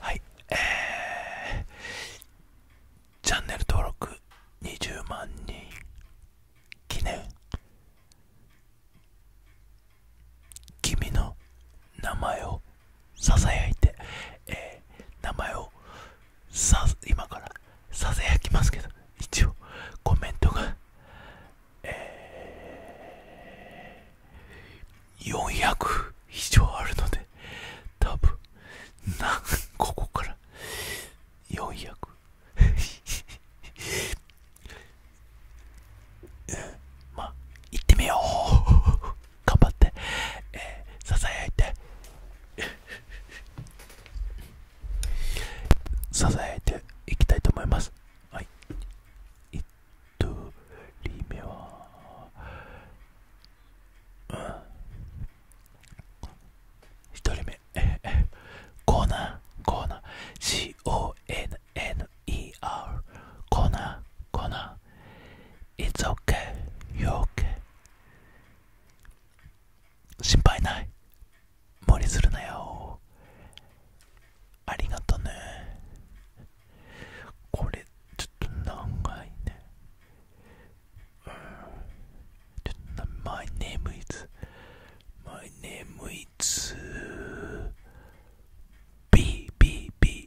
はいえチャンネル登録20万人記念君の名前をささやいて、え名前を今からささやきますけど一応コメントが、400以上あるので多分なここから400まあ、行ってみよう 頑張って、えー、ささやいてささやいていきたいと思いますはい1人目は1人目コーナーコーナー CONA N-E-R コナコナ It's okay, you're okay 心配ない無理するなよありがとねこれちょっと長いね、うん、ちょっと My name is My name is BBB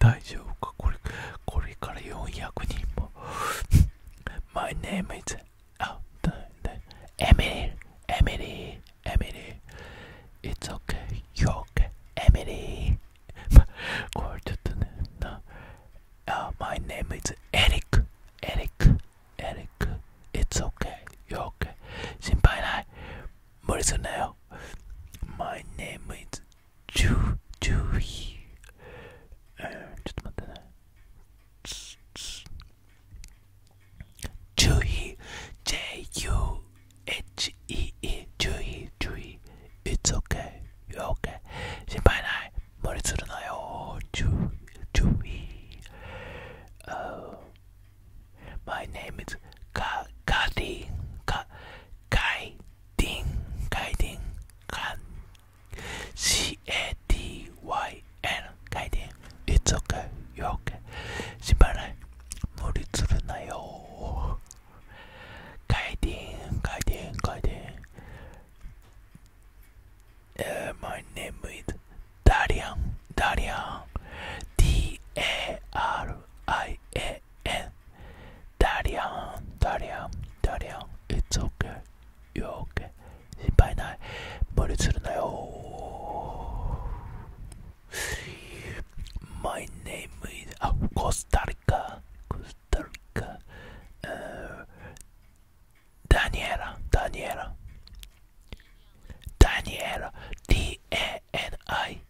大丈夫かこれこれから 大丈夫かこれこれから400人も My name is oh, Emily Emily Emily It's okay okay Emily My name is Eric Eric Eric It's okay You're okay 心配ない無理すんなよ My name is Cü cü ee, tutmadı ne? Cühi J U H E E Cühi Cühi It's okay You're okay 心配ない無理するなよ注意 uh, oh. My name is Ka Kati Ka Kai 가이딩 가이딩 간 C A D Y N 가이딩 이쪽에 이렇게 신발을 물이 들르나요 가이딩 가이딩 가이딩 uh, My name is 다리앙 다리앙 D A R I A okay. And Darian, Darian, Darian, it's okay. You're okay. 心配ない。無理するなよ。My name is あ、コスタリカ。コスタリカ。ダニエラ、ダニエラ。ダニエラ。D-A-N-I。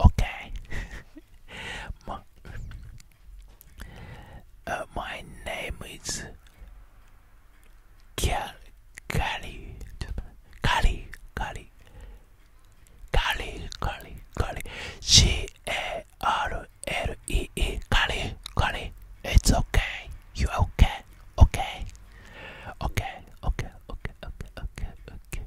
Okay. my, uh, my name is Cal Cali Cali Cali Cali Cali Cali C A R L E E Cali Cali. It's okay. You okay? Okay. Okay. Okay. Okay. Okay. Okay. Okay.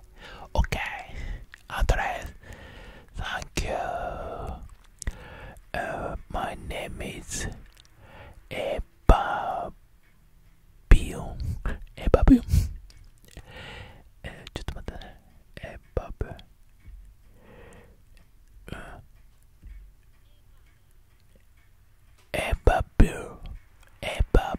Okay. Andres. Thank you. Uh, my name is Eva Bill. just a minute. Eva Bill. Eva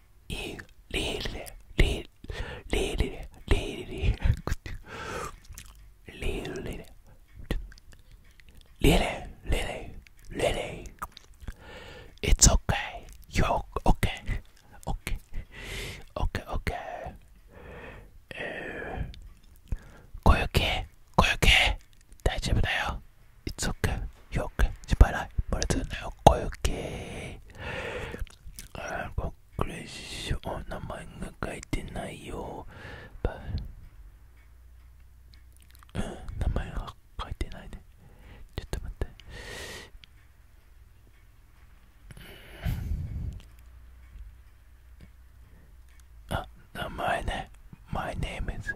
it's okay. You're okay. Okay. Okay, okay. Uh, 고요케, 고요케. 大丈夫だよ. It's okay. o r k Chipara, Barcelona, Koyoke. あー、これしょ、名前が書いてないよ。うん、名前が書いてないね。ちょっと待って。あ、名前ね。My name is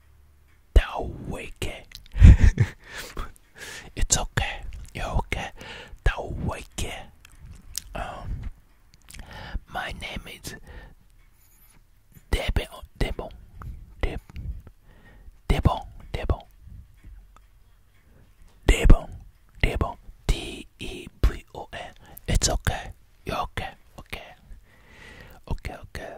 They're wicked. it's okay. You're okay. They're wicked. Um, my name is Debon. Debon. Debon. Debon. Debon. Debon. Debon. D E V O N. It's okay. You're okay. Okay. Okay. Okay.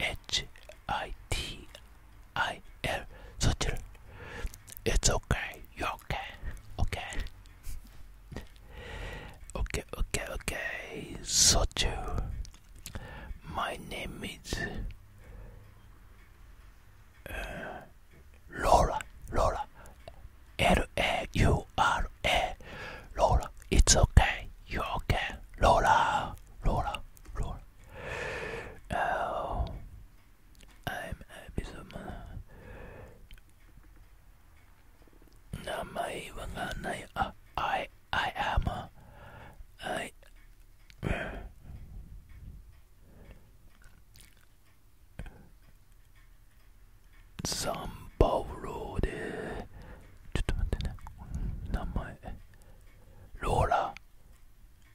H I T I L. Sutil. It's okay. You're okay. Okay. okay, okay, okay. Sutil. My name is uh, Laura. Laura. L A U R A. Laura. It's okay. You're okay. Laura. Laura. Laura. Oh, I'm happy someone. No, my I, uh, I, I am. Uh, a, I. Sambauro でちょっと待ってね名前ローラ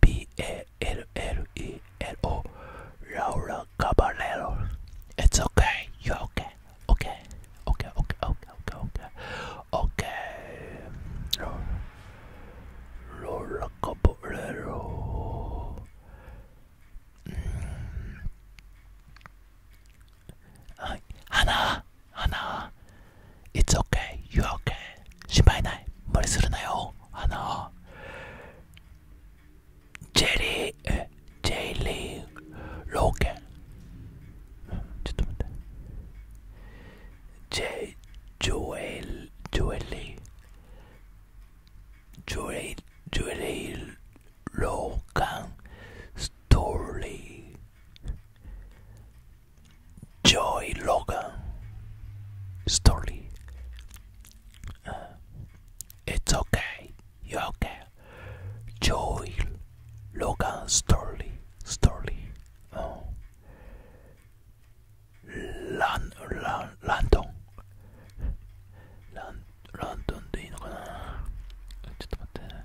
B-A-L-L-E-L-O Laura Caballero It's okay, you're okay, okay, okay, okay, okay, okay, okay, okay Laura Caballero mm. Hana, Hana, it's okay, you're okay. 心配ない。無理するなよ。あの、ジェリー、え、ジェリー・ローケン。ちょっと待って。ジェ、ジョエル、ジョエリー。ジョエ、ジョエリー・ローカン・ストーリー。Joy Logan story. Uh, it's okay, you're okay. Joy Logan story, story. Oh. Lan, lan, Landon. Lan, Landon でいいのかなちょっと待ってね。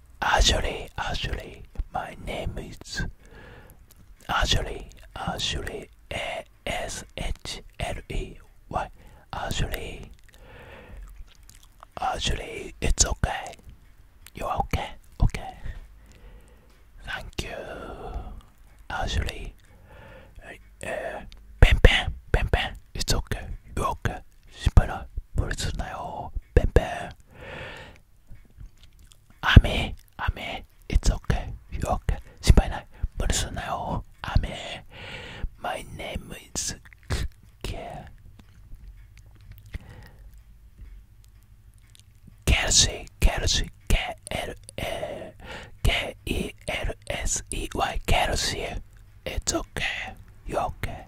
Ashley, Ashley, my name is Ashley, Ashley A S H L E Y. Ashley, Ashley, it's okay. You're okay, okay. Thank you. Ashley. uh, pen pen, pen pen. It's okay. You're okay. 심플한 버릇을 나요. 뱀뱀 雨雨 It's okay, you're okay 心配ない無理すんなよ雨 My name is K Kelsey Kelsey K L A K E L S E Y Kelsey It's okay, you're okay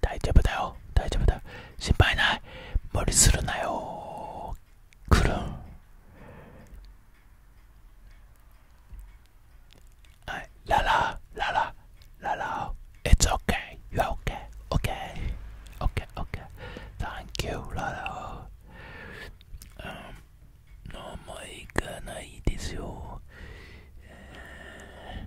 大丈夫だよ大丈夫だよ心配ない無理するなよ来るんはいララララララ It's okay You are okay Okay Okay Okay Thank you ララうん飲むいかないですよ、えー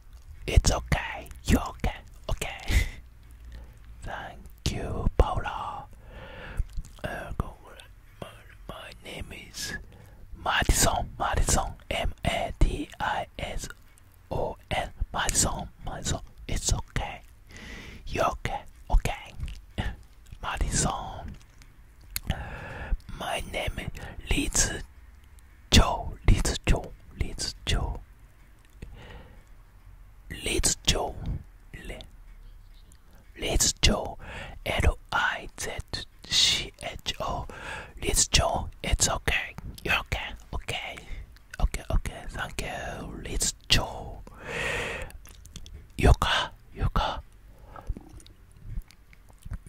It's okay. You okay? Okay. Thank you, Paula. Uh, my, my name is Madison. Madison. M A D I S O N. Madison. Madison. It's okay. You okay? Okay. Madison. My name is Liz Joe. Liz Joe. Liz Joe. Let's go. Le. Let's go. L I Z C H O. Let's go. It's okay. You're okay. Okay. Okay. Okay. Thank you. Let's go. Yoka. Yoka.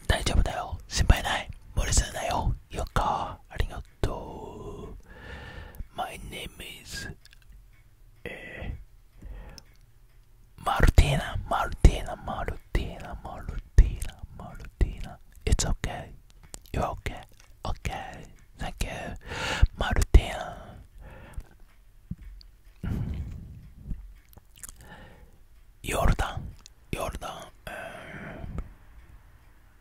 大丈夫だよ。心配ない。無理するなよ。よか。ありが Toronto. My name is Martina, Martina, Martina, Martina, Martina. It's okay. You're okay. Okay. Thank you, Martina. Jordan, Jordan,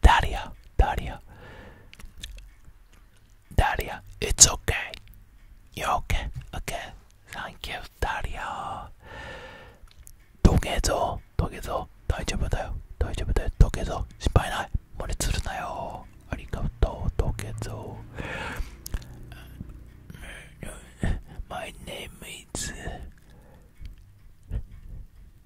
ダリア、ダリア。ダリア、It's okay. You're okay. Okay. Thank you, ダリア。溶けぞ、溶けぞ。大丈夫だよ、大丈夫だよ。溶けぞ、失敗ない。漏れつるなよ。ありがとう、溶けぞ。My name is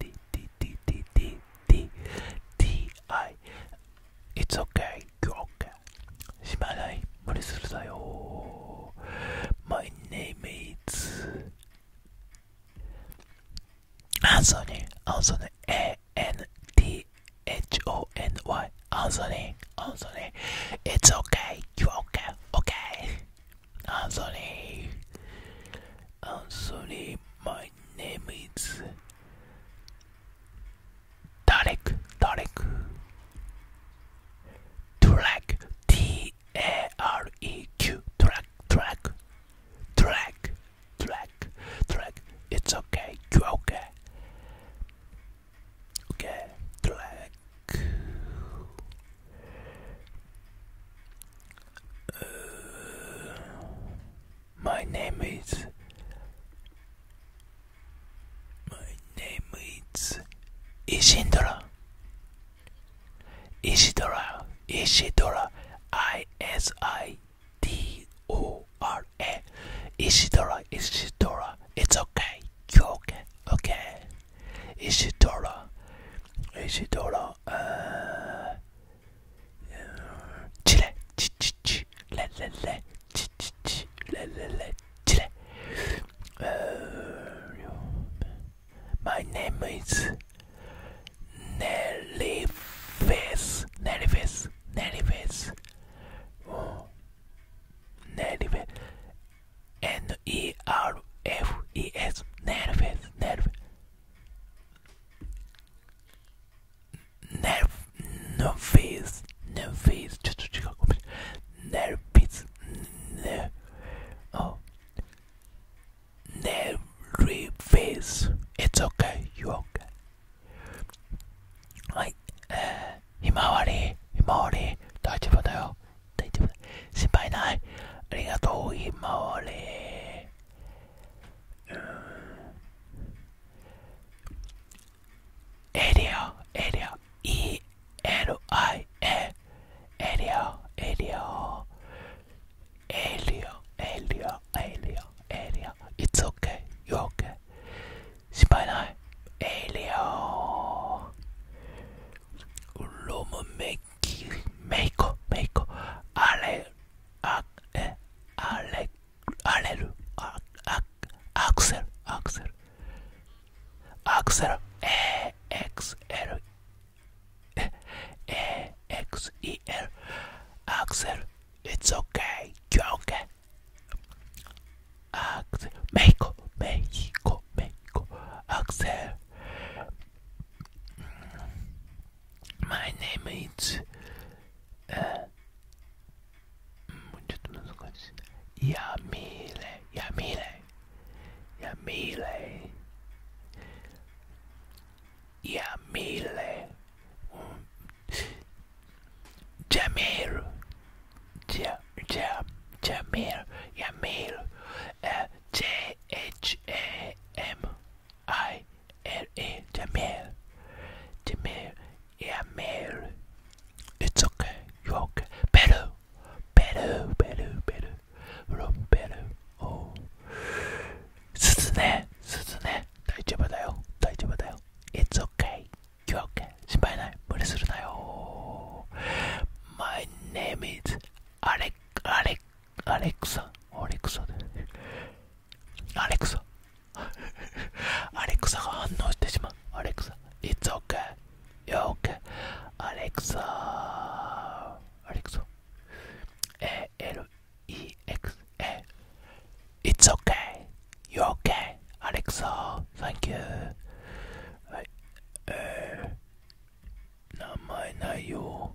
T-T-T-T-T-T-T-I It's okay, you're okay しまない無理するだよ My name is アンソニーアンソニー A-N-T-H-O-N-Y アンソニーアンソニー It's okay, you're okay, okay I'm sorry. I'm sorry. My name is Tarek. Tarek. Track. T A R E Q. Track. Track. Track. Track. Track. It's okay. You okay? Okay. Track. Uh, my name is. My name is Isidora. Isidora. Isidora. I S I D O R A. Isidora. Isidora. It's okay. okay. Okay. Isidora. Isidora. Uh, Chile, my name is Nelly Face, Nelly Face, Nelly Face, oh, Nelly Face, N E R F E S, Nelly Face, Nelly Face. Never, Just Nerv nervous, nervous. Nervous, nervous. Never nervous. It's okay. You okay? はい、えー、ひまわり、ひまわり、大丈夫だよ、大丈夫だ、心配ない、ありがとう、ひまわり。Alio, uh, Alio, E L I A Alio, area area area area area it's okay you're okay 心配ないエリアロムメイキメイコメイコあれ Allelu, Axel, Axel, Axel, E X L E X E L, Axel. It's okay, okay. Axel, Mexico, Mexico, Mexico, Axel. My name is uh, mm, Yamile Yamile Yamile Yamile mm, Jamil Jam Jam Jamil Yamil uh, J H A M I Elle est de mer. De mer et à mer. It's okay, you're okay. Better, better, better, better. From better. Oh. すずね、すずね、大丈夫だよ、大丈夫だよ。It's okay, you're okay. 心配ない、無理するなよ。My name is Alex, Alex. アレクサ、アレクサアレクサ、アレクサ反応してしまう、アレクサ、It's ケ k a y you're okay, アレクサ、アレクサ、A-L-E-X, A, i t ケ okay, you're okay, アレクサ、Thank you. はい、えー、名前ないよ。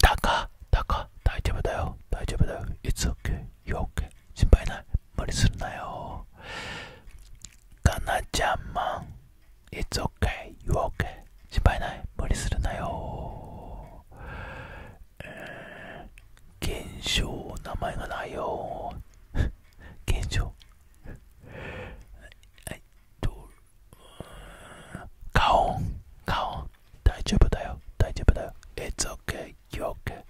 タカタカ大丈夫だよ大丈夫だよ i t オ okay You're okay 心配ない無理するなよかなちゃんマン It's okay You're okay 心配ない無理するなよ現象名前がないよ現象カオンカオン大丈夫だよ大丈夫だよ It's okay, you're okay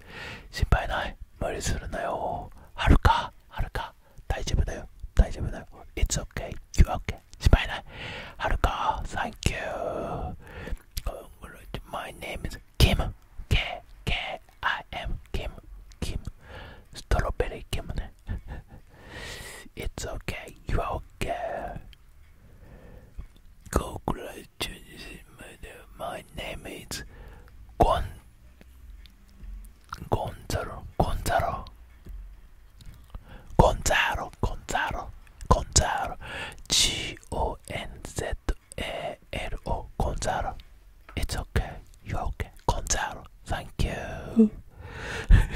心配ない無理するなよはるかはるか大丈夫だよ大丈夫だよ It's okay, you're okay 心配ないはるか Thank you My name is Kim K K I M Kim Kim ストロベリー Kim It's okay, you're okay ごくらい My name is Gon Gonzaro Gonzaro Gonzaro Gonzaro Gonzaro G O N Z A L O Gonzaro It's okay, you're okay, Gonzaro, thank you.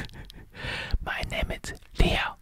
My name is Leo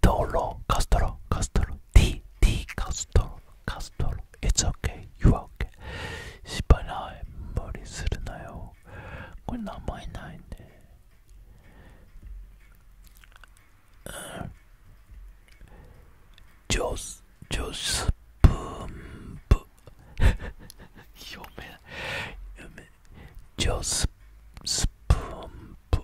ドロカストロカストロィ T T カストロカストロ i ツオケユ a y You are okay 失敗ない無理するなよこれ名前ないねジョスジョスプンプ 読めないジョススプンプ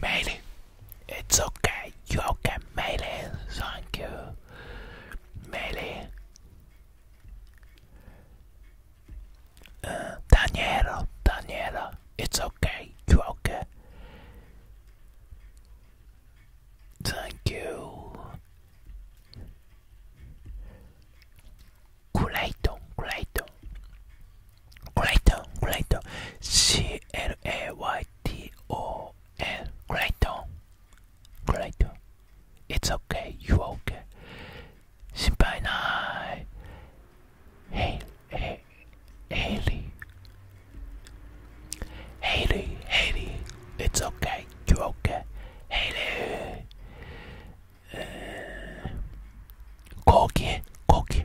Melee, it's okay. You are okay, Melee? Thank you, Melee. Uh, Daniela, Daniela, it's okay. You are okay? Thank you. Clayton, Clayton. Clayton, Clayton, C L A Y T O N, Clayton, Clayton. It's okay, you okay. Senpai nai. Hey, hey, Haley, Haley, Haley. It's okay, you okay, Haley. Uh, Koki, Koki.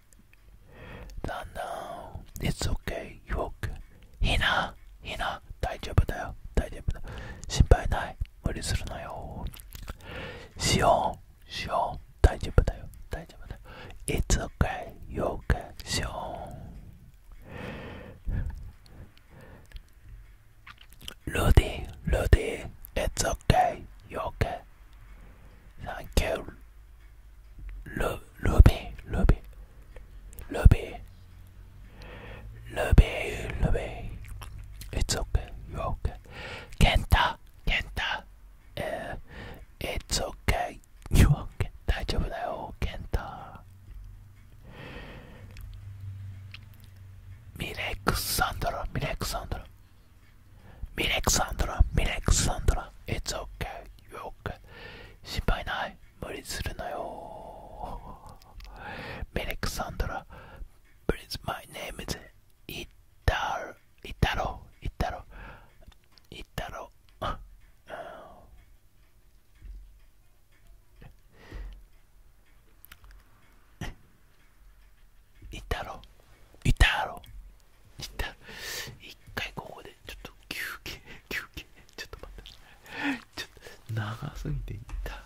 No, no, it's okay, you okay. ひな、ひな、大丈夫だよ、大丈夫だ。心配ない、無理するなよ。しおん、しおん、大丈夫だよ、大丈夫だよ。It's okay, you o k しおん。ルディ、ロディ、It's okay, you o Thank you. Lu Luby, Luby, Luby, Luby, Luby. It's okay, you're okay. Kenta, Kenta, uh, it's okay, you're okay. 大丈夫だよ、ケンタ。ミレックス・サンドラ、ミレックス・サンドラ。ミレクサンドラ、ミレクサンドラ、i ツオ okay, you're okay. 心配ない、無理するなよ。ミレクサンドラ、Please, my name is イタロ、イタロ、イタロ、イタロ。イタロイタロ行っ一回ここでちょっと休憩休憩ちょっと待ってちょっと長すぎていった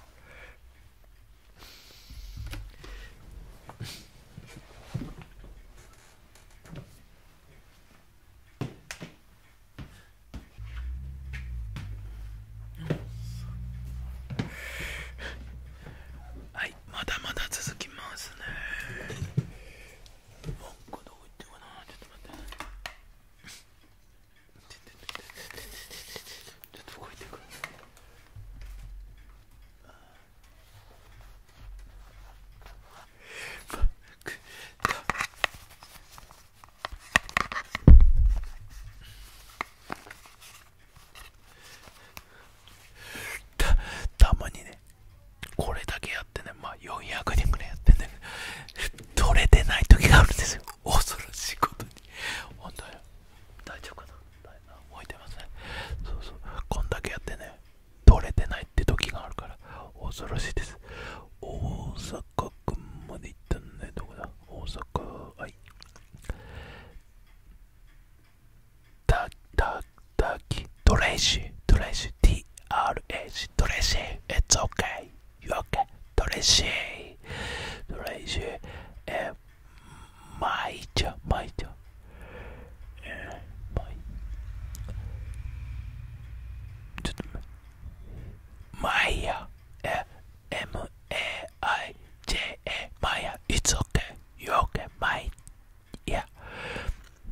はいまだまだ続きますねちょっとたまにねこれだけやってねまあ400人ぐらいやってね取れてない時があるんですよ恐ろしいことに本当に大丈夫かな動いてますねそうそうこんだけやってね取れてないって時があるから恐ろしいです大阪くんまで行ったんねどこだ大阪はいだだだきトレイシートレイシー TRH トレイシー It's okay y o u okay トレイシートレイシーえまいちゃまいちゃえまいちょっとまいやえ MAIJA まいや It's okay y o u okay まい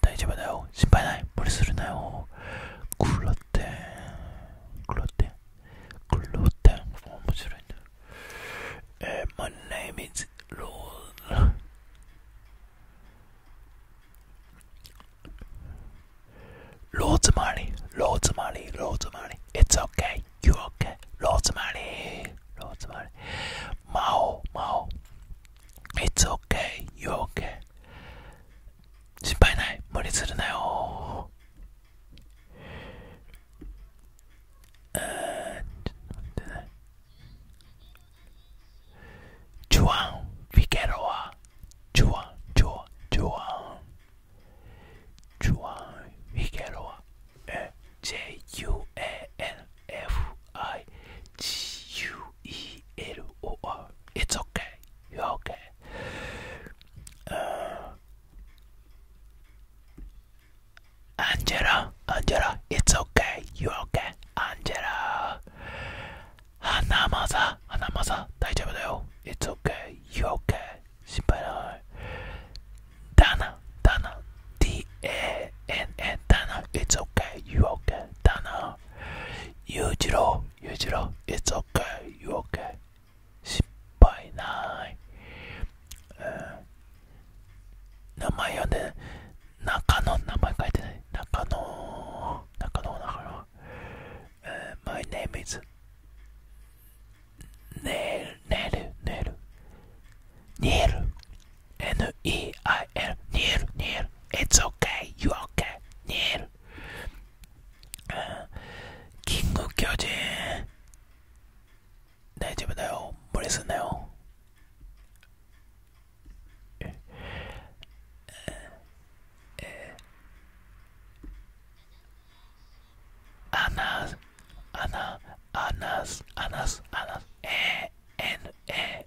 大丈夫だよ心配ない無理するなよクロテンクロテンクロテン面白いねえー、My name is ロール Rosemary, Rosemary, Rosemary. It's okay, you're okay. Rosemary, Rosemary. Mao, Mao, It's okay, you okay. 心配ない、無理するなよ。え待ってね。ュアン・フィゲロア。ジュアン、ジュアン、ジュアン。フィゲロア。え、J-U-A-N。F-I-G-U-E-L-O-R It's okay, you're okay、uh, Angela, Angela, it's okay, you're okay Angela 花まさ、花まさ、大丈夫だよ It's okay, you're okay 心配ないダナ、ダナ D-A-N-N だな It's okay, you okay だなゆうじろう、ゆうじろう It's okay, you o k 失敗ない、名前呼んで中野名前書いてない中野中野中野、うん、My name is ネイルネイルニエル N-E-I-L ニエルニエル It's okay, you okay ニエル、うん、キング巨人大丈夫だよ無理すんなよええアナアナアナスアナスアナス A N A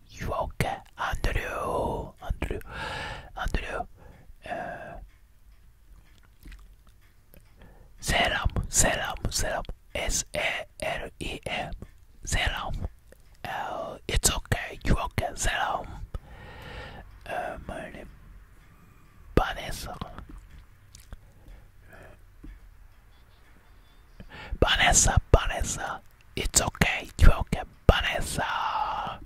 okay? You okay? Andrew, Andrew, Andrew. Uh, eh. serum, serum, serum. S A L E M. Serum. Uh, eh, it's okay. You okay? Serum. Uh, eh, my name. Vanessa. Vanessa, Vanessa. It's okay, you're okay, Vanessa.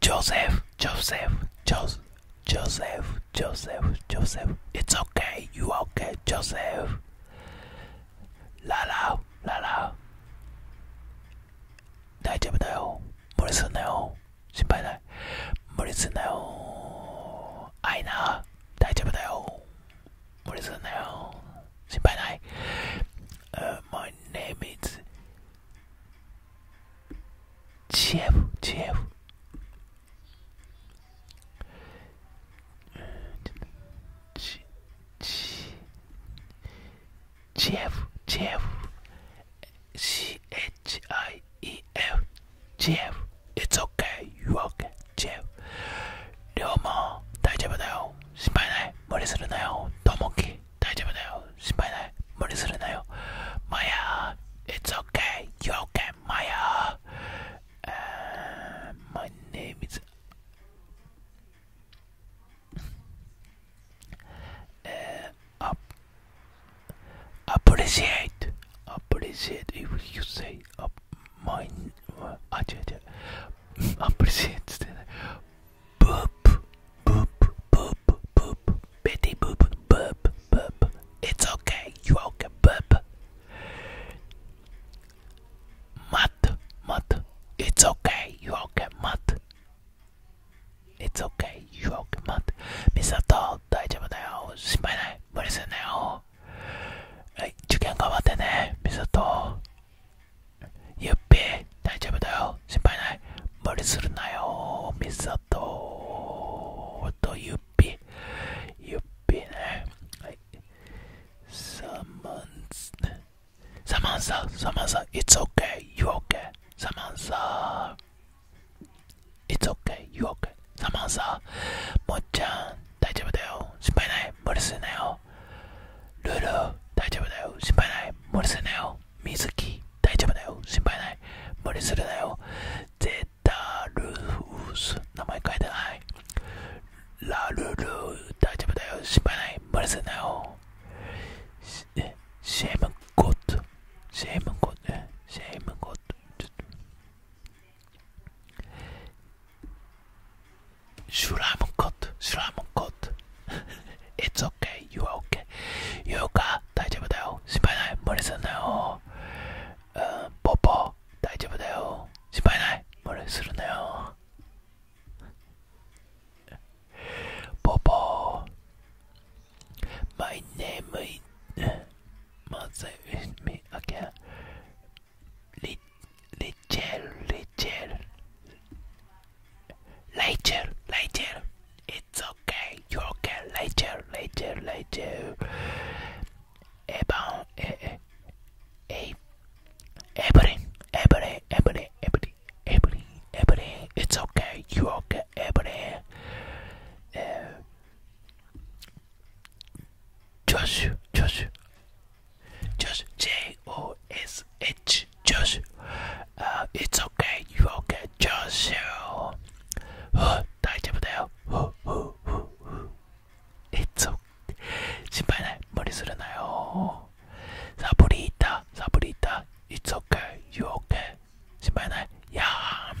Joseph, Joseph, Joseph, Joseph, Joseph, Joseph. It's okay, you okay, Joseph. 라라, 라라. 大丈夫だよ。無理すんなよ。心配ない。無理すんなよあいな大丈夫だよ無理すんなよ心配ない、uh, My name is GF GF ちち GF GF CH G i e f GF It's okay, you okay, GF りょうも大丈夫だよ心配ない無理するなよともき大丈夫だよ心配ない無理するなよマヤ It's okay, you okay, マヤ My name is えー、アッ appreciate appreciate if you say up my uh, ah, appreciate boop boop boop boop bitty boop boop boop it's okay you okay boop Matt Matt it's okay you okay Matt It's okay you okay Matt ミサト大丈夫だよ心配ない無理すんなよはい、受験頑わってね、みさと。ゆっぺ、大丈夫だよ、心配ない。無理するなよ、みさと。と、ゆっぺ、ゆっぺね。はい。サマンサ、サマンサ、サマンサ、It's okay, you okay. サマンサ。It's okay, you okay. サマンサ、もっちゃん、大丈夫だよ。心配ない、無理すんなよ。ルル、大丈夫だよ。心配ない、無理すんなよ。水木、大丈夫だよ。心配ない、無理するなゼタルース、名前書いてない。ラルル、大丈夫だよ。心配ない、無理すんなよ。シェームゴッド、シェームゴッド、シェームゴッド。Sure, I'm good. Sure, I'm good. It's okay. You are okay. You か大丈夫だよ。心配ない。無理すんなよ。うん、ポポ、大丈夫だよ。心配ない。無理するなよ。ポポ、My name is mother with me again. Rachel, Rachel, Rachel, Rachel. It's okay, you're okay. Rachel, Rachel, Rachel. Evan, eh, every, every, every, every, every, every. It's okay, you're okay, every. Uh, eh, ジョシュ、ジョシュ、ジョシュ、J-O-S-H、ジョシュ、uh, It's okay, you're okay, ジョシュ、大丈夫だよ、It's okay, 心配ない、無理するなよ、サブリータ、サブリータ、It's okay, you're okay, 心配ない、やーん。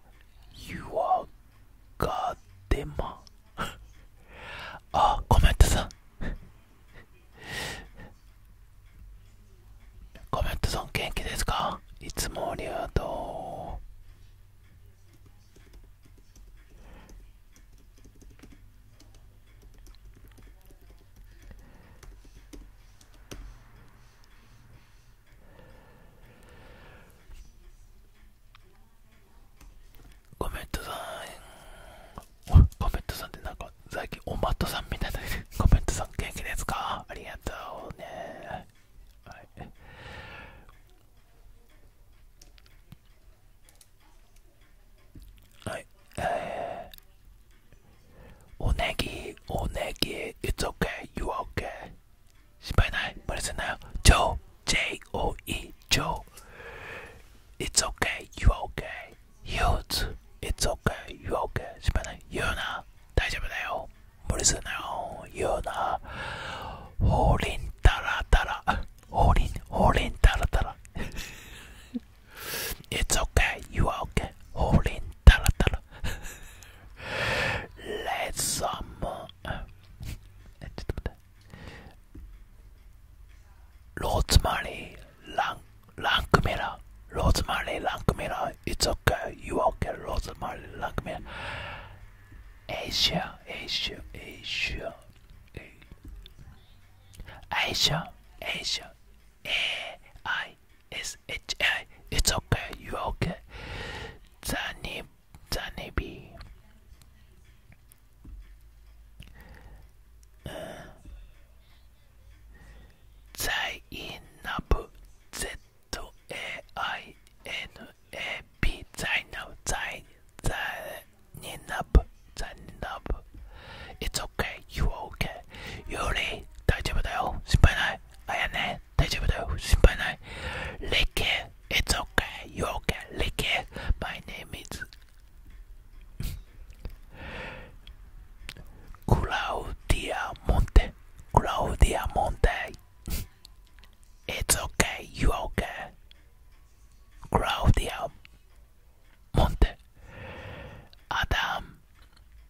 You are goddamn あコメントさん、コメントさん元気ですかいつもありがとうコメントさんコメントさんってなんか最近おまっとさんみたいなコメントさん元気ですかありがとうねはいはい、えー、おねぎおねぎ It's okay, you o k 心配ない無理すんなよ Joe J-O-E Joe It's okay, you're okay Youth It's okay, you're okay 心配ない言うな大丈夫だよ無理すんなよ言うなほうりんたらたらほうりんほうりんたらたら It's okay, you're okay ほうりんたらたら Let someone. Uh, Rosemary Lang Langmira. Rosemary Langmira. It's okay. You okay, Rosemary Langmira. Asia, Asia, Asia. Asia, Asia. A I uh, it's okay. You okay? Danny, Danny uh, It's okay. You okay? Yuri, 大丈夫だよ。心配ない。あやね。okay, 大丈夫だよ、心配ない。Lick it, it's okay, you're okay, lick it, my name is Claudia Monte, Claudia Monte. It's okay, you okay. Claudia Monte. Adam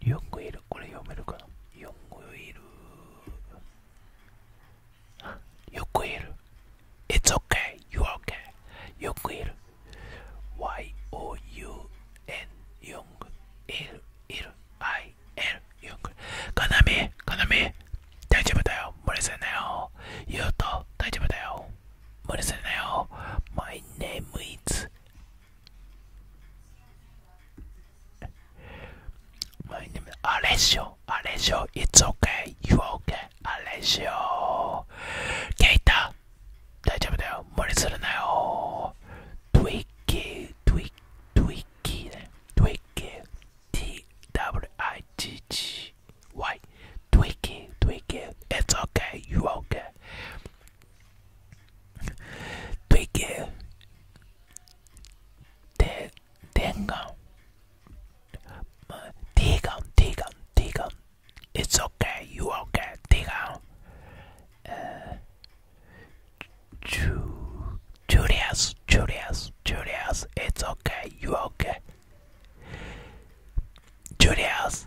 リオングイル、これ読めるかなリオングイル。よくいる。It's okay, you're okay. よくいる。Y-O-U-N ヨング。いる、I-L ヨング。かなみ、かなみ、大丈夫だよ。無理せんなよ。言うと大丈夫だよ。無理せんなよ。My name is My name is Alessio. Alessio, it's okay. You are okay. Alessio. Keita. 大丈夫だよ。無理するなよ。Twiggy, Twiggy, Twiggy ね。Twiggy, T-W-I-G-G-Y. Twiggy, Twiggy, it's okay. You are okay. 되게 대 대감 대감 대감 대감 It's okay, you okay, 대감 주 Julius, Julius, Julius, it's okay, you okay. Julius,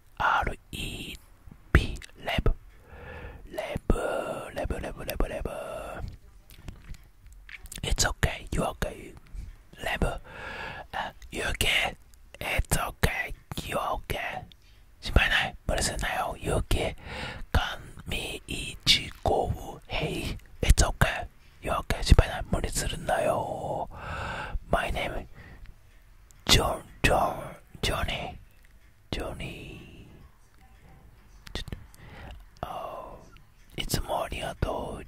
R E LEB Lab Lab レブレブレブレブレブレブ It's okay, you okay レブ You okay? It's okay, you okay 心配ない無理すんなよ You okay? 神一号 Hey, it's okay, you okay you 配ない無理するなよ My name John John Johnny Johnny. ちょっと、あいつもありがとう。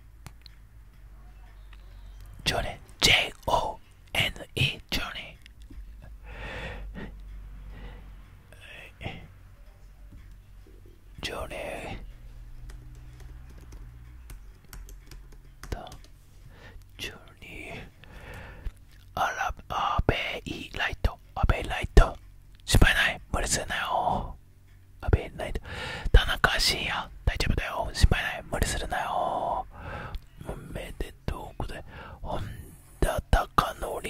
ジョネ、J-O-N-E、ジョネ。ジョネ。だ。12あらアベイライトアベイライト心パイナイ。理するナよアベイライト田中シア。大丈夫だよ心配ない無理するなよおめでとうござい本田貴則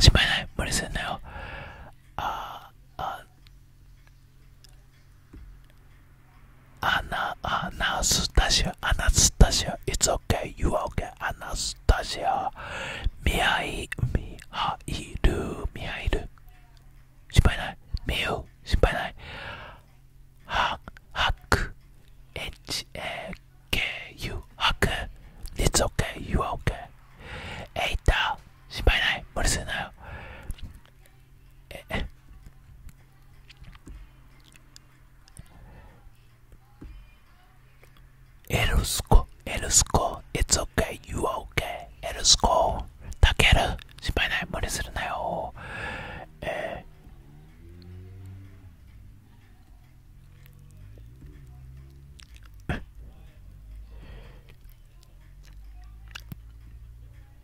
心配ない無理するなよアあ Ana, Anastasia, Anastasia, it's okay, you are okay, Anastasia. Mihai, Mihairu, Mihairu. 心配ない。みゆ、心配ない。は、はく。h, a, k, u, はく。it's okay, you are okay. えいた、心配ない。無理するなよ。えエルスコエルスコ It's okay, you are o k エルスコタケル心配ない無理するなよえ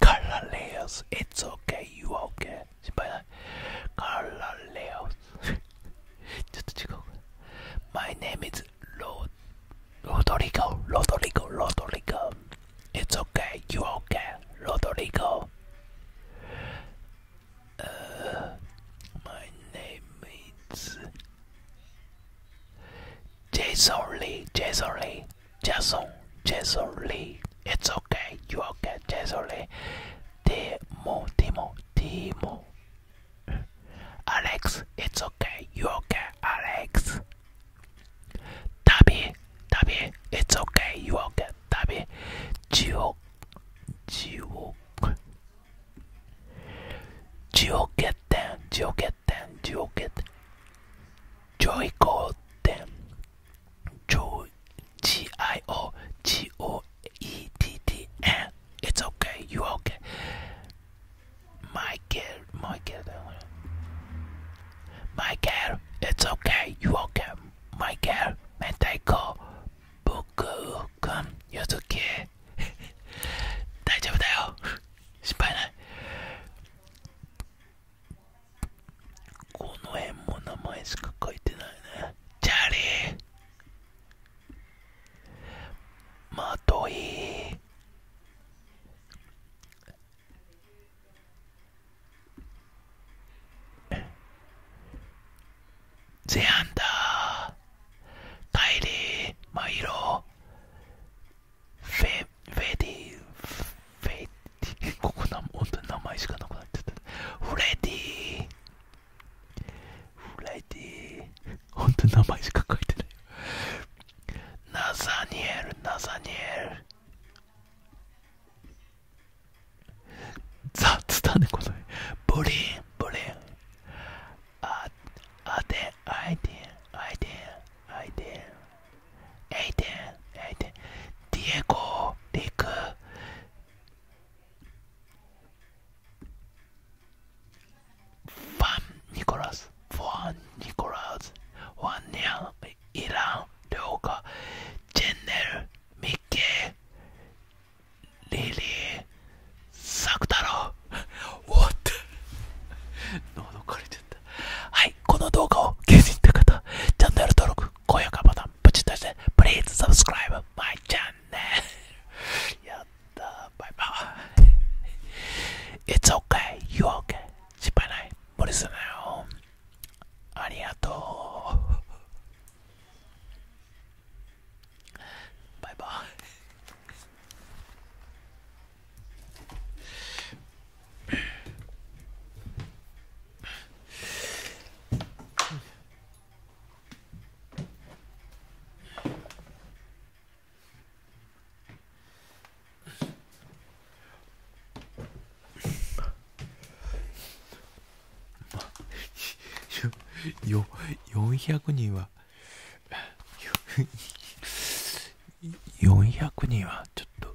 Carlos, it's okay, you okay. Carlos. My name is Rod Rodrigo. Rodrigo. Rodrigo. It's okay, you okay, Rodrigo. Uh, my name is Jason Lee. Jason, Jason Lee. It's okay, you okay, Jason Lee. Timo, Timo, Timo. Alex, it's okay, you okay, Alex. Tabi, Tabi, it's okay, you okay, Tabi. Gio, Gio. Gio get down, Gio get down, Gio get. Joico them. Jo G I O G O E T T N. It's okay. You okay? Michael, Michael, Michael. It's okay. You okay? Michael, Mentaiko, Boku, Kun, Yuzuki. 大丈夫だよ。心配ない。この辺も名前しか書いてないねチャリーまといゼアンダータイリーマイロフェフェディフェディ ここな本当に名前しかなくなっちゃったフレディフレディ本当に名前しか書いてないナザニエルナザニエルザ雑だねこのブリンブリンああでアイデンアイデンアイデンアイデンエイテンエイテンディエゴリクファン・ニコラスファン・ニコラスワンニャンイランリョウカジェンネルミッケーリリーサクタロウ What? 喉枯れてはい、この動画を気に入った方、チャンネル登録、高評価ボタン、プチッとして、Please subscribe my c h a n やったバイバイ。It's okay, you're okay. 失敗ない、無理すありがとう。バイバイ。よ4 0人は4 0人はちょっと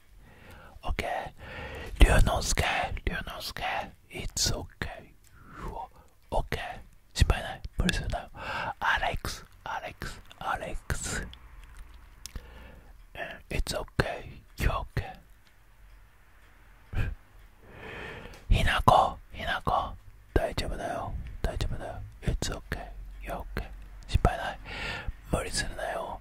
Okay. Ryunosuke, Ryunosuke, it's okay. Okay. 心配ない。無理するなよ。Alex, Alex, Alex. Eh, it's okay. You're okay. ひなこ、ひなこ。大丈夫だよ。大丈夫だよ。It's okay. You're okay. 心配ない。無理するなよ。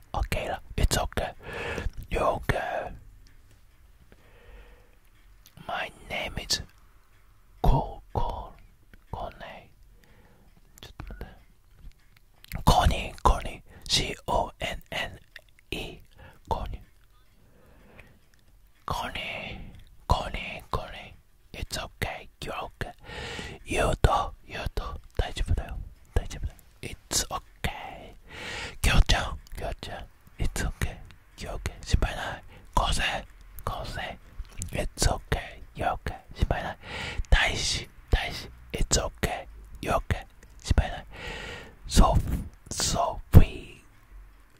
now. Okay, it's okay. You're okay. My name is Cole Cole Connie. ちょっと待って。コニーコニー CONNE コニーコニーコニーコニー It's okay, you're okay. 言うと言うと大丈夫だよ大丈夫だよ It's okay きょうちゃんきょうちゃん It's okay きょうけ心配ないこうせこうせ It's okay よけ心配ない大使大使 It's okay よけ心配ないソフソフィ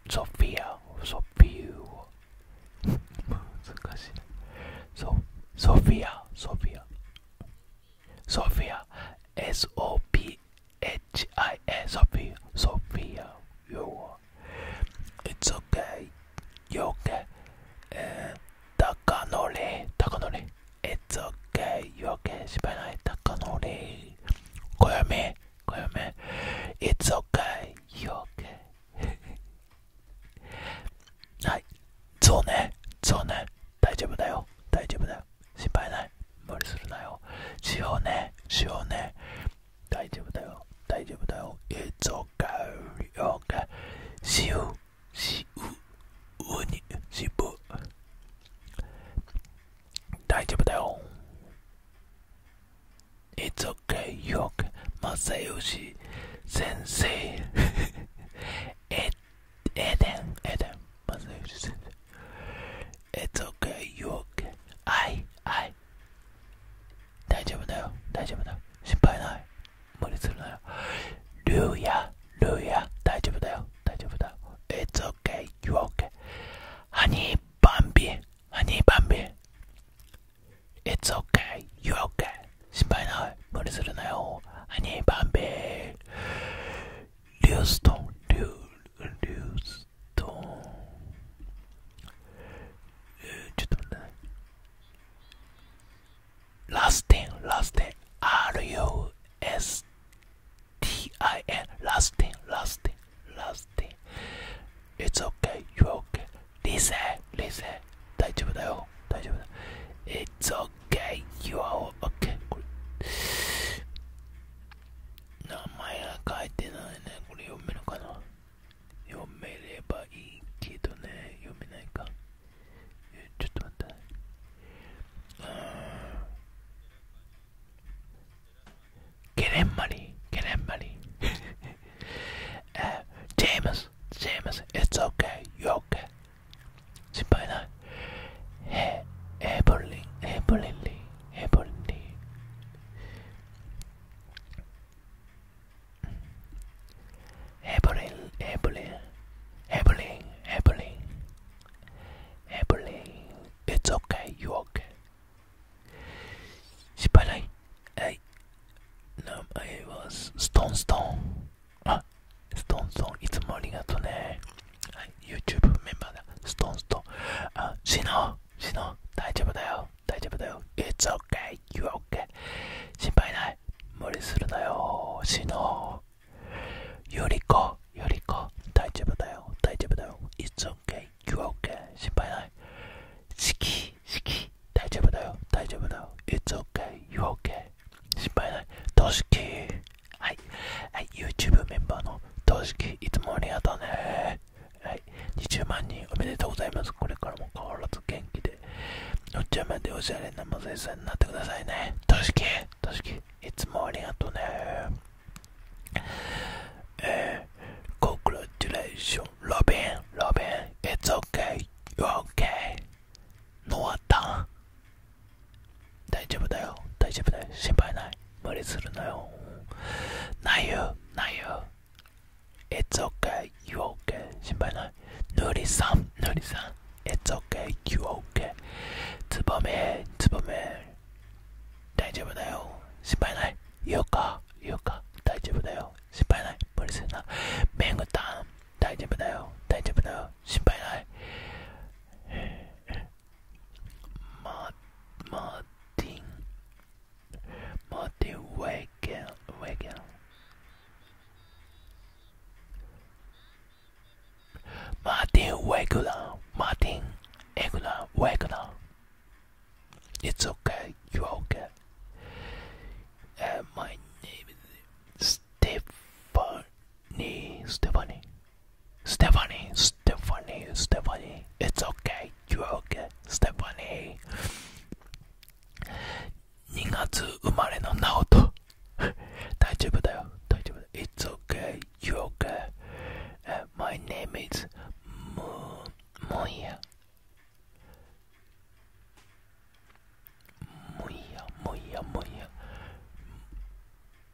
ソフィア ソフィア難しいソフィアソフィア Sophia, S O P H I A, Sophia, Sophia, you It's okay, you okay. And Takanori, Takanori, It's okay, you okay, 失敗ない、Takanori. 小読み、小読み、It's okay, you okay. はい、そうね、そうね、大丈夫だよ、大丈夫だよ。心配ない無理するなよしようねしようね大丈夫だよ大丈夫だよ It's okay okay しようしううにしぶ大丈夫だよ It's okay よく正義先生 It's Eden, Eden, It's okay, you okay. I, I. 大丈夫だよ、大丈夫だよ。心配ない。無理するなよ。ルーヤ、ルーヤ、大丈夫だよ、大丈夫だよ。It's okay, you okay. ハニーバンビ、ハニーバンビ。It's okay, you okay. 心配ない。無理するなよ。ハニーバンビ。Leoston, Leoston. Lasting, ちょっと待ってね。ラスティン、ラスティン、R-U-S-T-I-N、ラスティン、ラスティン、ラスティン。It's okay, you're okay. Listen, listen. It's okay. Okay, you are okay. これ名前が書いてないね。これ読めるかな読めればいいけどね。読めないか。ちょっと待って。ゲレンマリー、ゲレンマリー。ジェームス、ジェームス、It's okay, you're okay. 心配ないヘヘブリンヘブリンリヘブリンリヘブリンヘブリンヘブリンヘブリンヘブリン It's okay, you okay 失敗ないはい No, I was stone stone あストーンストーンいつもありがとね。はい、YouTube メンバーだ。ストーンストーン。あ、シの、シの、大丈夫だよ。大丈夫だよ。It's okay, y o u o k 心配ない。無理するだよ。シノ。よりこ、よりこ。大丈夫だよ。大丈夫だよ。It's okay, y o u o k 心配ない。四季、四季。大丈夫だよ。大丈夫だよ。It's okay, y o u o k 心配ない。としき。はい、はい、YouTube メンバーの投資機いつもありがとうねはい20万人おめでとうございますこれからも変わらず元気でおっちゃまでおしゃれなまささんになってくださいね投資機投資機いつもありがとうねえー、コクラチュレーションロビンロビン It's okay, you're okay ノアタン大丈夫だよ大丈夫だよ心配ない無理するなよないよないよ It's okay, you okay 心配ないぬりさんぬりさん It's okay, you okay つばめつばめ大丈夫だよ心配ないよかよか大丈夫だよ心配ない無理するなめんぐたん大丈夫だよ大丈夫だよ心配ない Martin Martin Wagen Wagen Martin Wagner Martin Wagner It's okay, you're okay. Uh, my name is Stephanie Stephanie Stephanie, Stephanie, Stephanie, it's okay, you're okay, Stephanie. 2月生まれのナオト大丈夫だよ、大丈夫だ。It's okay, you're okay.、Uh, my name is も、もや。もや、もや、もや。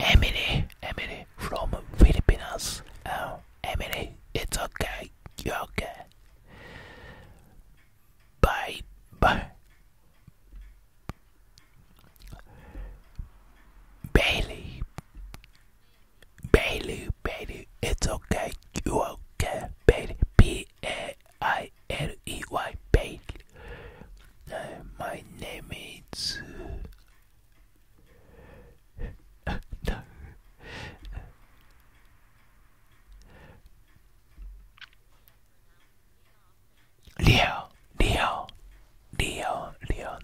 Emily, Emily from Filipinas. Oh, Emily, it's okay, you're okay. Bye, bye. Bailey, Bailey, Bailey, it's okay, you're okay. Bailey, B A I L E Y, Bailey. Uh, my name is. Uh, no. Leo, Leo, Leo, Leo,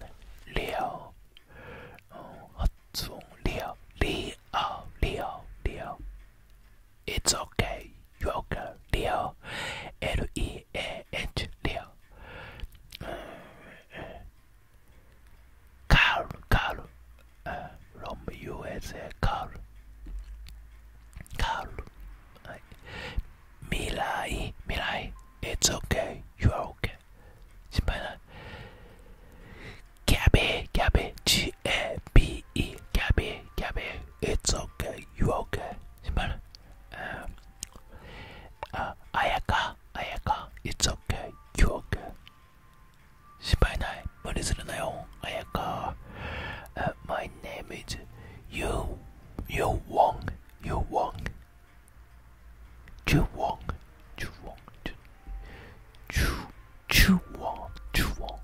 Leo. Oh, what's wrong? Leo, Leo, Leo, Leo. It's okay. You're okay, Leo. L E eh, Carl, Carl. from uh, USA, Carl. Carl. Mirai, Mirai. It's okay. You are okay. 心配ない。ギャビー、ギャビー、G-A-B-E。ギャビー、ギャビー。It's okay. You are okay. 心配ない。um, uh, Ayaka, Ayaka, it's okay, you're okay. 心配ない無理するなよ、Ayaka. Uh, my name is Yu, Yu Wong, Yu Wong. Chu Wong, Chu Wong, Chu, Chu Wong, Chu Wong,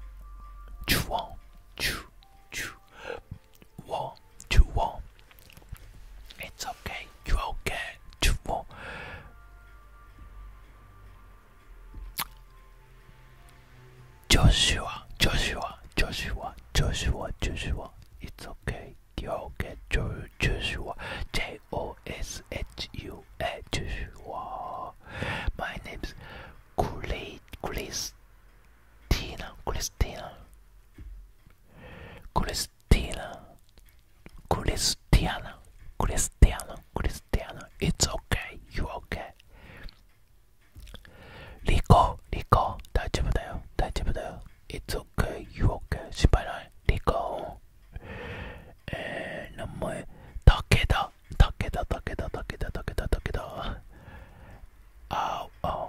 Chu Wong, Chu, Chu wall to wall. It's okay, you okay to wall. Joshua, Joshua, Joshua, Joshua, Joshua. It's okay, you okay, Joshua. J O S H U A, Joshua. My name's Chris, Chris, Cristina, Cristina, Cristina, Cristiana, Cristiana, Cristiana. It's okay, you okay. Rico, Rico, 大丈夫だよ、大丈夫だよ。It's oh. oh. okay, you okay. 心配ない。リコ、えー、名前、武田、武田、武田、武田、武田、武田。あお、あお。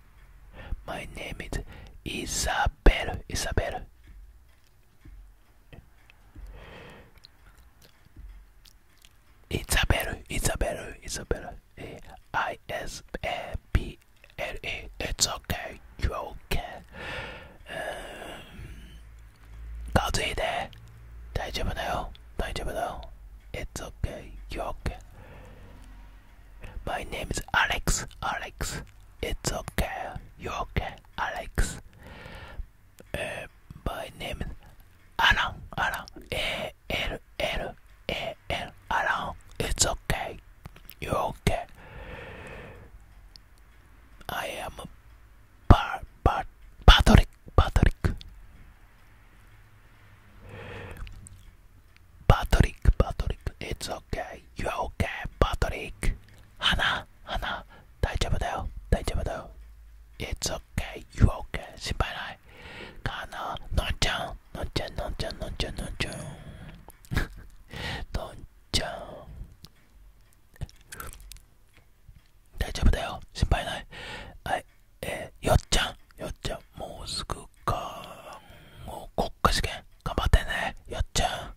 My name is Isabel. Isabel. Isabel. Isabel. Isabel. I S A B L A. It's okay. You okay? ガズいで大丈夫だよ大丈夫だよ um, It's okay. You okay? My name is Alex. Alex, it's okay. You're okay, Alex. Uh, my name is Alan. Alan. A L L A L. Alan, it's okay. You're okay. I am Bar Bar Patrick. Patrick. パトリックパトリック。i t s okay, you're okay, Patrick. 花、花、大丈夫だよ、大丈夫だよ。It's okay, you're okay, 心配ない。かな、のんちゃん、のんちゃん、のんちゃん、のんちゃん、のんちゃん。のんちゃん。大丈夫だよ、心配ない。はい、えー、よっちゃん、よっちゃん、もうすぐか。もう国家試験、頑張ってね、よっちゃん。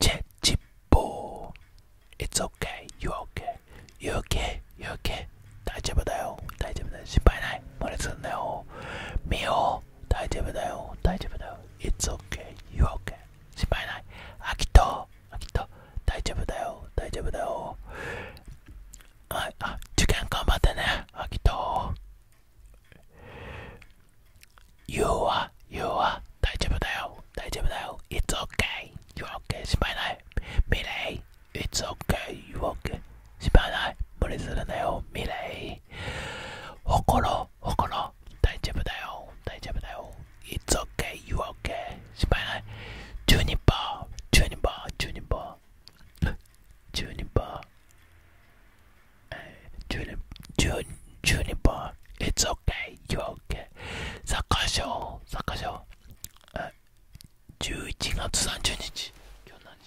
チェチッポー It's okay, you okay, you okay, you okay 大丈夫だよ、大丈夫だよ、失敗ない、無理すんなよみよう、大丈夫だよ、大丈夫だよ It's okay, you okay 心配ない、あきと、あきと、大丈夫だよ、大丈夫だよああ、受験頑張ってね、あきと You are, you are 大丈夫だよ、大丈オだよ It's okay, you're okay 心配ないミレイ It's okay, you're okay 心配ない無理するなよミレイほころ、ほころ大丈夫だよ、大丈夫だよ It's okay, you're okay 心配ないチューニパー、チューニパー、チューニパーチューニパー uh, Juniper, Jun, Juniper, it's okay, you're okay. サッカー賞、サッカー賞、uh, 11月30日、今日何日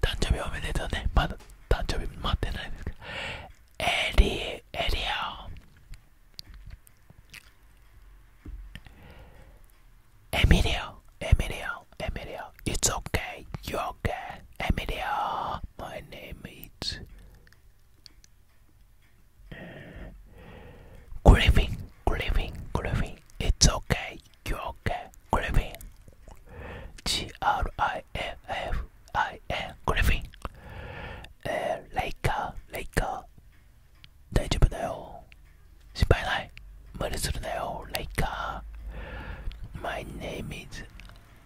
誕生日おめでとうね、まだ誕生日待ってないですけど、エリ、エリア、エミリオ、エミリオ、エミリオ、it's okay, you're okay, エミリオ。my name is Griffin, Griffin, Griffin. It's okay, you're okay, Griffin. G R I F F I N, Griffin. Uh, later, later. 大丈夫だよ。心配ない。無理するなよ、ライカー。My name is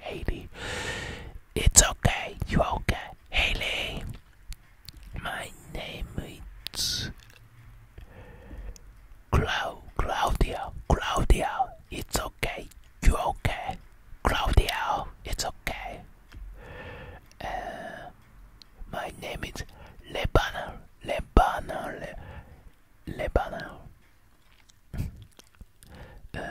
Haley. It's okay, you okay, Haley. My name is Clau Claudia. Claudia, it's okay, you okay, Claudia. It's okay. Uh, my name is Lebanon. Lebanon. Le Lebanon. Uh,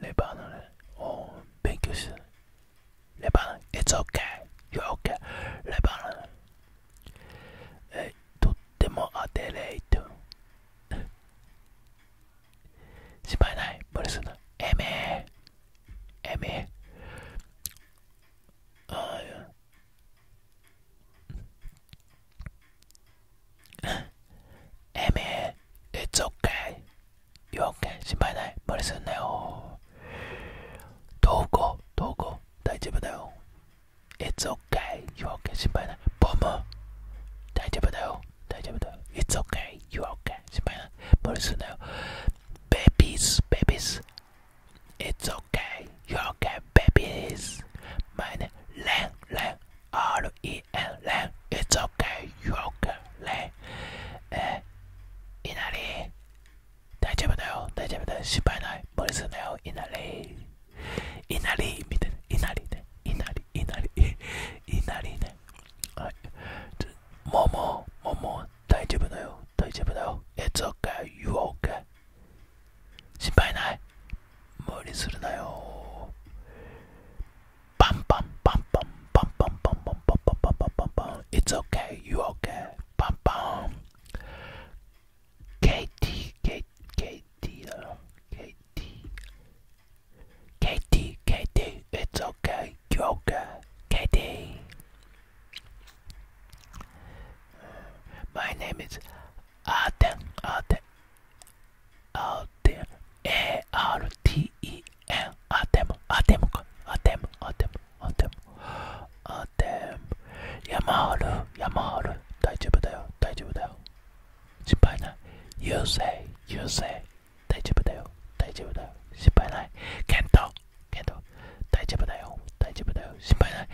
レバーのね、お勉強してレバーの、It's okay, you're o k レバーの、え、とっても当てれいと。心配ない、無理すんな。えめえめああ、エめ It's okay, 4億件心配ない無理すんなよどうこうどうこう大丈夫だよ It's okay4 億件心配ないボム大丈夫だよ大丈夫だよ It's okay4 億件心配ない無理すんなよベビーズベビーズ It's okay4 億件ベビーズ前ねレンレン R-E-N レン It's okay4 億件レンえーいなり大丈夫だよ大丈夫だよ心配ない無理するなよいなりいなりみたいないなりねいなりいなりいなりねはいももも大丈夫だよ大丈夫だよえ、t s か、k a y か、o u o 心配ない無理するなよ Bum bum bum bum bum bum bum bum bum bum bum bum It's okay, you okay? Bum bum. Katie, Katie, Katie, Katie, Katie, Katie. It's okay, you okay? Katie. My name is Arden. Arden. Arden. A R T E えあてもあてもかあてもあてもあてもあても山ある山ある大丈夫だよ大丈夫だよ失敗ない You say You say 大丈夫だよ大丈夫だよ失敗ないケントケント大丈夫だよ大丈夫だよ心配ない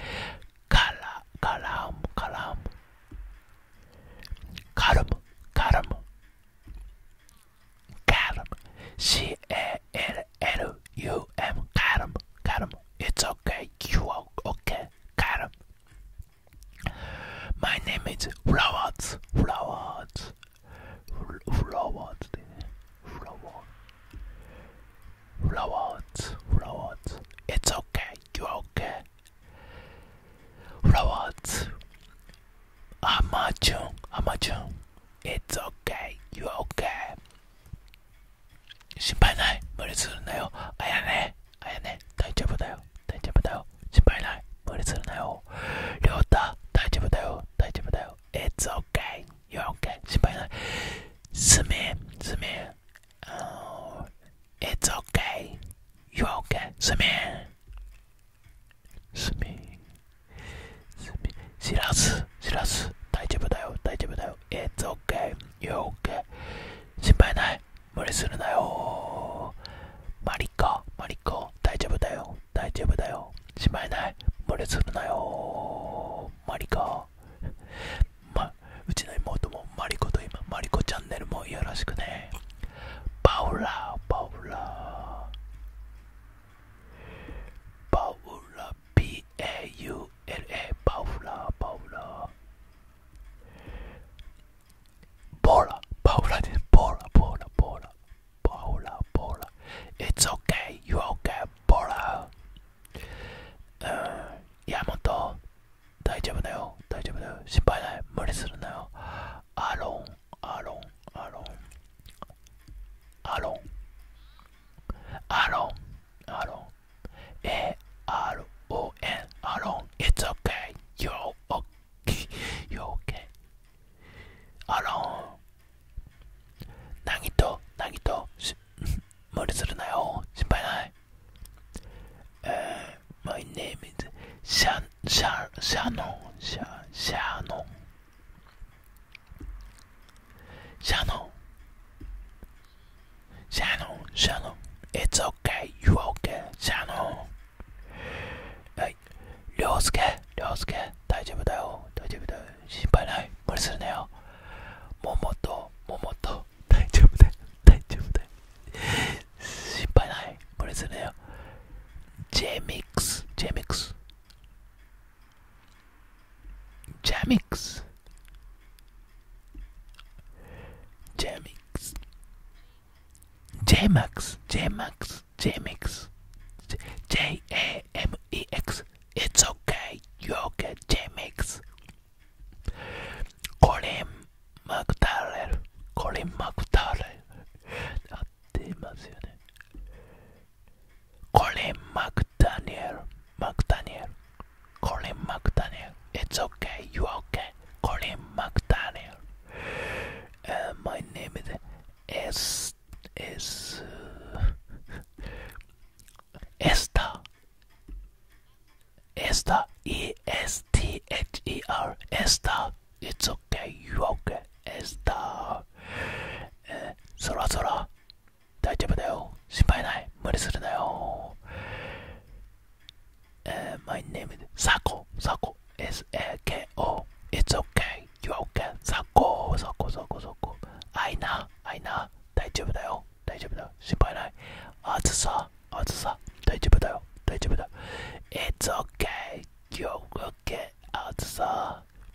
カラカラムカラムカルムカルム Calm. C A L L U M. Calm. Calm. It's okay. You are okay. Calm. My name is Flowers. Flowers. Flowers. Flowers. Flowers. Flowers. It's okay. You are okay. Flowers. Amazon, Amazon, It's okay, you're okay. 心配ない、無理するなよ。あやね、あやね、大丈夫だよ、大丈夫だよ。心配ない、無理するなよ。りょうた、大丈夫だよ、大丈夫だよ。It's okay, you're okay. 心配ない。すめ、メ、め、It's okay, you're okay. メ、め。すみすみ知らず知らず大丈夫だよ大丈夫だよ It's okay You're okay 心配ない無理するなよマリコマリコ大丈夫だよ大丈夫だよ心配ない無理するなよマリコまうちの妹もマリコと今マリコチャンネルもよろしくねパウラパウラ Paula, P A U L A, Paula, Paula. Paula, Paula, this Paula, Paula, Paula, Paula, Paula. It's okay, you okay, Paula. Uh, Yamato, 大丈夫だよ、大丈夫だよ、心配ない、無理するなよ。アロンアロン、アロン、アロン、アロン、アロン、A-R-O-N、アロン、It's okay, you're okay, you're okay, アロン、なぎと、なぎと、無理するなよ、心配ない。えー、My name is シャ、シャ、シャノン、シャ、シャノン。Shannon, Shannon, Shannon, it's okay, you okay, Shannon. はい、涼介、涼介、大丈夫だよ、大丈夫だよ、心配ない、無理するなよ。ももと、ももと、大丈夫だよ、大丈夫だよ。心配ない、無理するなよ。ジェミックス、ジェミックス。Jamix. Jamix. Jamax. Jamax. Jamix. J A M E X. It's okay. You're okay. Jamix. Colin McDowell. Colin McDowell. ってますよね。コリン・マクダニエル、マクダニエル、コリン・マクダニエル、It's okay, y o u okay, コリン・マクダニエル。Uh, my name is S, S, エスターエスター ESTHER エスター It's okay, o k a y エスター、えー、そらそら、大丈夫だよ、心配ない、無理するなよ。え my name is サコ、サコ、S-A-K-O, it's okay, you okay, サコ、サコ、サコ、サコ、あいな、あいな、大丈夫だよ、大丈夫だよ、心配ない、暑さ、暑さ、大丈夫だよ、大丈夫だよ、it's okay, you okay, 暑さ、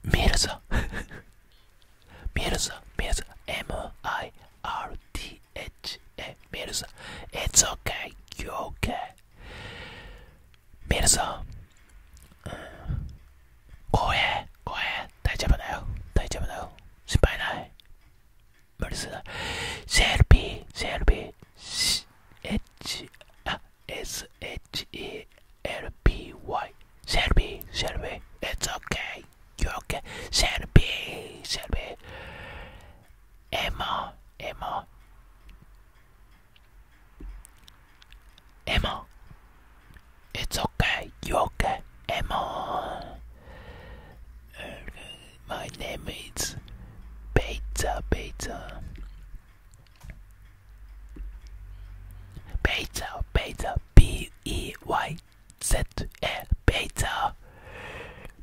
Mirza Mirza Mirza M-I-R-T-H-A Mirza It's okay, you're okay Mirza 고해 고해 大丈夫だよ大丈夫だよ心配ない Mercer, Shelby, Shelby, H S H E L B Y, Shelby, Shelby. It's okay, you're okay, Shelby, Shelby. Emma, Emma, Emma. It's okay, you're okay, Emma my name is Beta Beta. Beta Beta B E Y Z A Beta.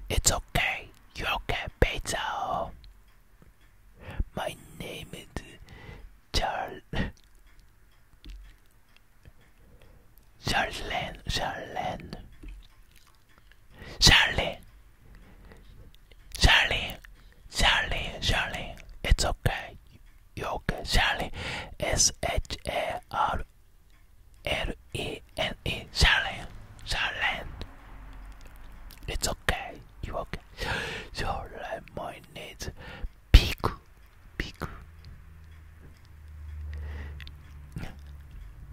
It's okay, you're okay, Beta. My name is Charles. Charlene, Charlene. Charlie, Charlie, Charlie, Charlie, it's okay, you okay, Charlie, S H A R L E N E, Charlie, Charlie, it's okay, you okay, Charlie, my needs, big, big.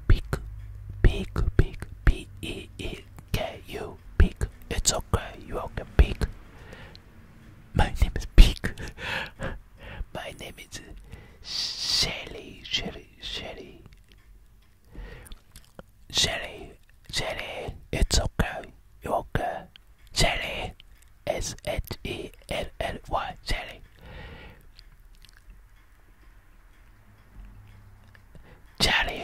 Peek, peek, peek, P E E K U, peek. It's okay, you all can peek. My name is Peek. My name is Shelly, Shelly, Shelly. Shelly, Shelly, it's okay, you okay. Shelly, S H E L L Y, Shelly. Chatty,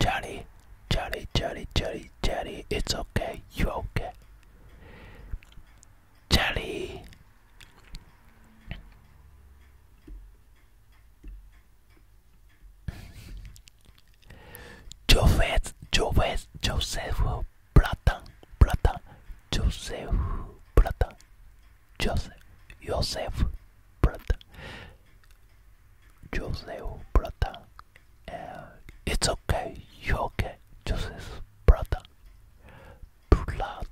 chatty, chatty, chatty, chatty, chatty. It's okay. You okay? Chatty. Joseph, Joseph, Joseph, Platan, Platan, Joseph, Platan, Joseph Joseph Prata. Joseph Prata. Uh, it's okay. You okay? Joseph Prata. Brother.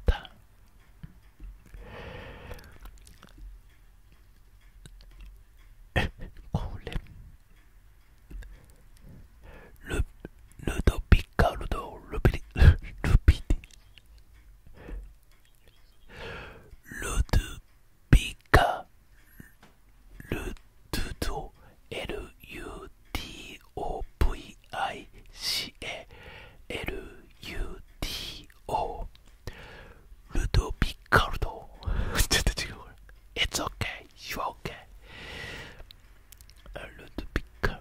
Le, Ludovic Ludo, Lupiti, Lupiti, ルドゥビカルドゥド LUDOVICA LUDO ルドビカルドちょっと違う It's okay, you're okay ルドビカ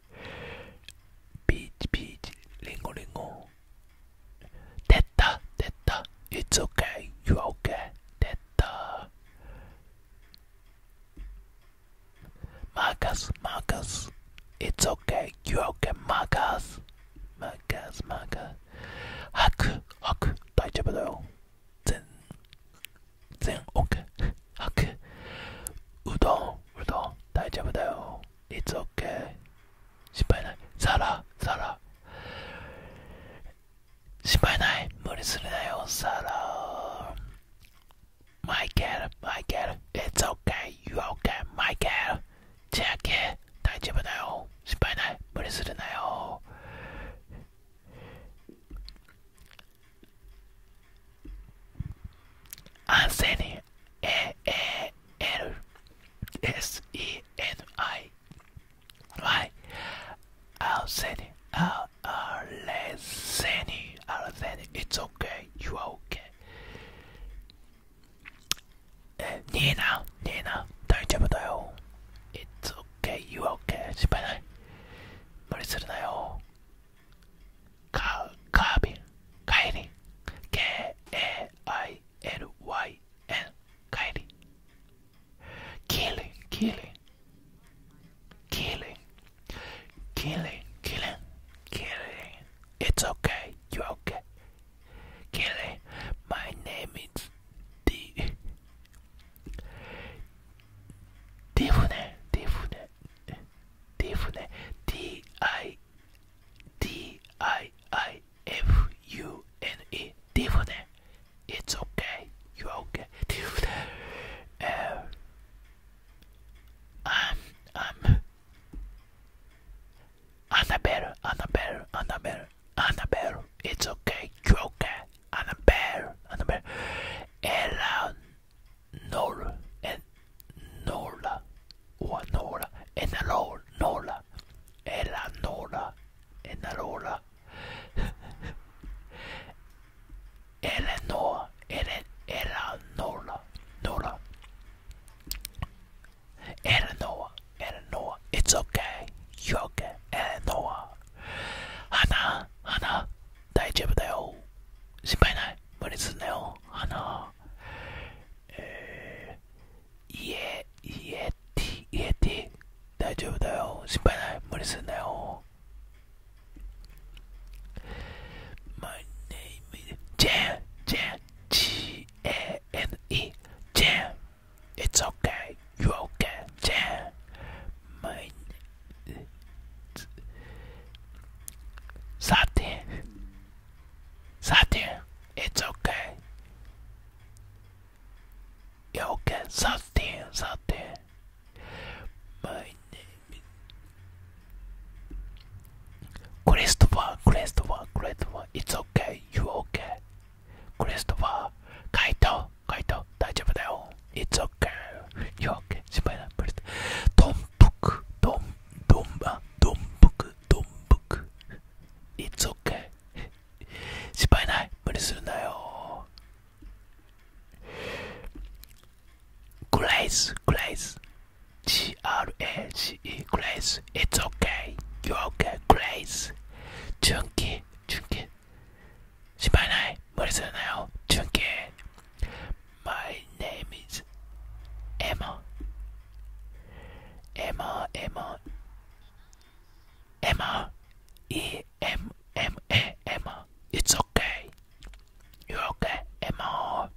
ピーチピーチリンゴリンゴ出た出た It's o k ケ y y o オ are o 出たマーカスマーカスイ t s okay, you are マーカスマーカスマーカスハク、吐く大丈夫だよ全然 OK 吐くうどんうどん大丈夫だよ It's okay 心配ないサラサラ心配ない無理するなよサラマイケルマイケル It's okay You o k マイケルチェアキ大丈夫だよ心配ない無理するなよ安静に N A L S E N I Y Arseni Al Arseni Arseni It's okay, you are okay. Uh, Nina, Nina, It's okay, you are okay. 失敗ない。無理するなよ。カー、カービン。帰り K-A-I-L-Y-N 帰り killing killing killing killing killing killing it's okay you're okay killing my name is D Divune Divune Divune D I D-I-I-F-U-N-E Diffune It's okay, you're okay Diffune uh, i Annabelle, Annabelle, Annabelle, Annabelle It's okay, you're okay Annabelle, Annabelle Eleanor, and Nola, Wanola, Enalola, Nola, Elanola, Enalola, Eleanor, Ele, Elanola, Nola, Eleanor, Eleanor, it's okay, you're okay, Eleanor, Hana, Hana, 大丈夫だよ。心配ない。無理すんなよ。花。えー、イエティ、イエティ、大丈夫だよ。心配ない。無理すんなよ。My eh, name is Jan, Jan, G-A-N-E, Jan. It's okay. You okay, Jan. My name 13. It's okay. You're okay. 13. 13. My name is Christopher. Christopher. Christopher. It's okay. You're okay. Christopher. カイト。カイト。大丈夫だよ。It's okay. You're okay. 心配ない。トンプク。トン、トン、あ、トンプク。don't book. It's okay. 失敗ない。無理するなよ。グレイス、グレイス。G-R-A-C-E、グレイス。It's okay. You're okay. グレイス。純喜、純喜。失敗ない。無理するなよ。純喜。My name is Emma. Emma, Emma, Emma, E M M A, Emma. It's okay. You're okay, Emma.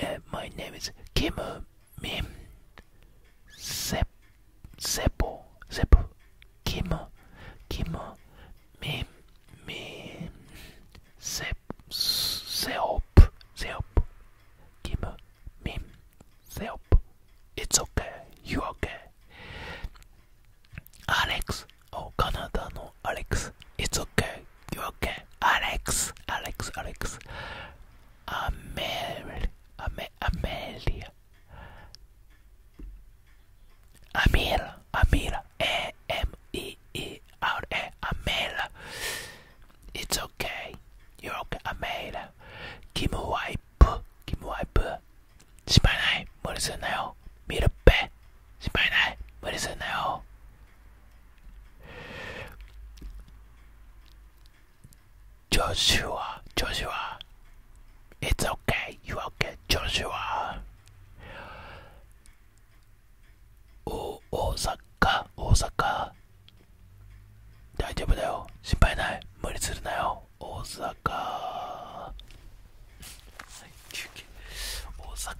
Uh, my name is Kim uh, Mim Sep Sepo Sep Kim uh, Kim uh, Mim Mim Sep Seop Seop Give me help. It's okay. You are okay? Alex. Oh, Canada Alex. It's okay. You are okay? Alex. Alex. Alex. Amel. Amel. Amelia. Amira. Amira. A M E E R A. Amela. It's okay. You're okay. I made it. Give a wipe. Give a wipe. 신발나이 머리 쓰나요? 밀어 빼. 신발나이 머리 쓰나요? Joshua, Joshua, it's okay. You are okay, Joshua? 大阪大阪大丈夫だよ心配ない無理するなよ大阪休憩大阪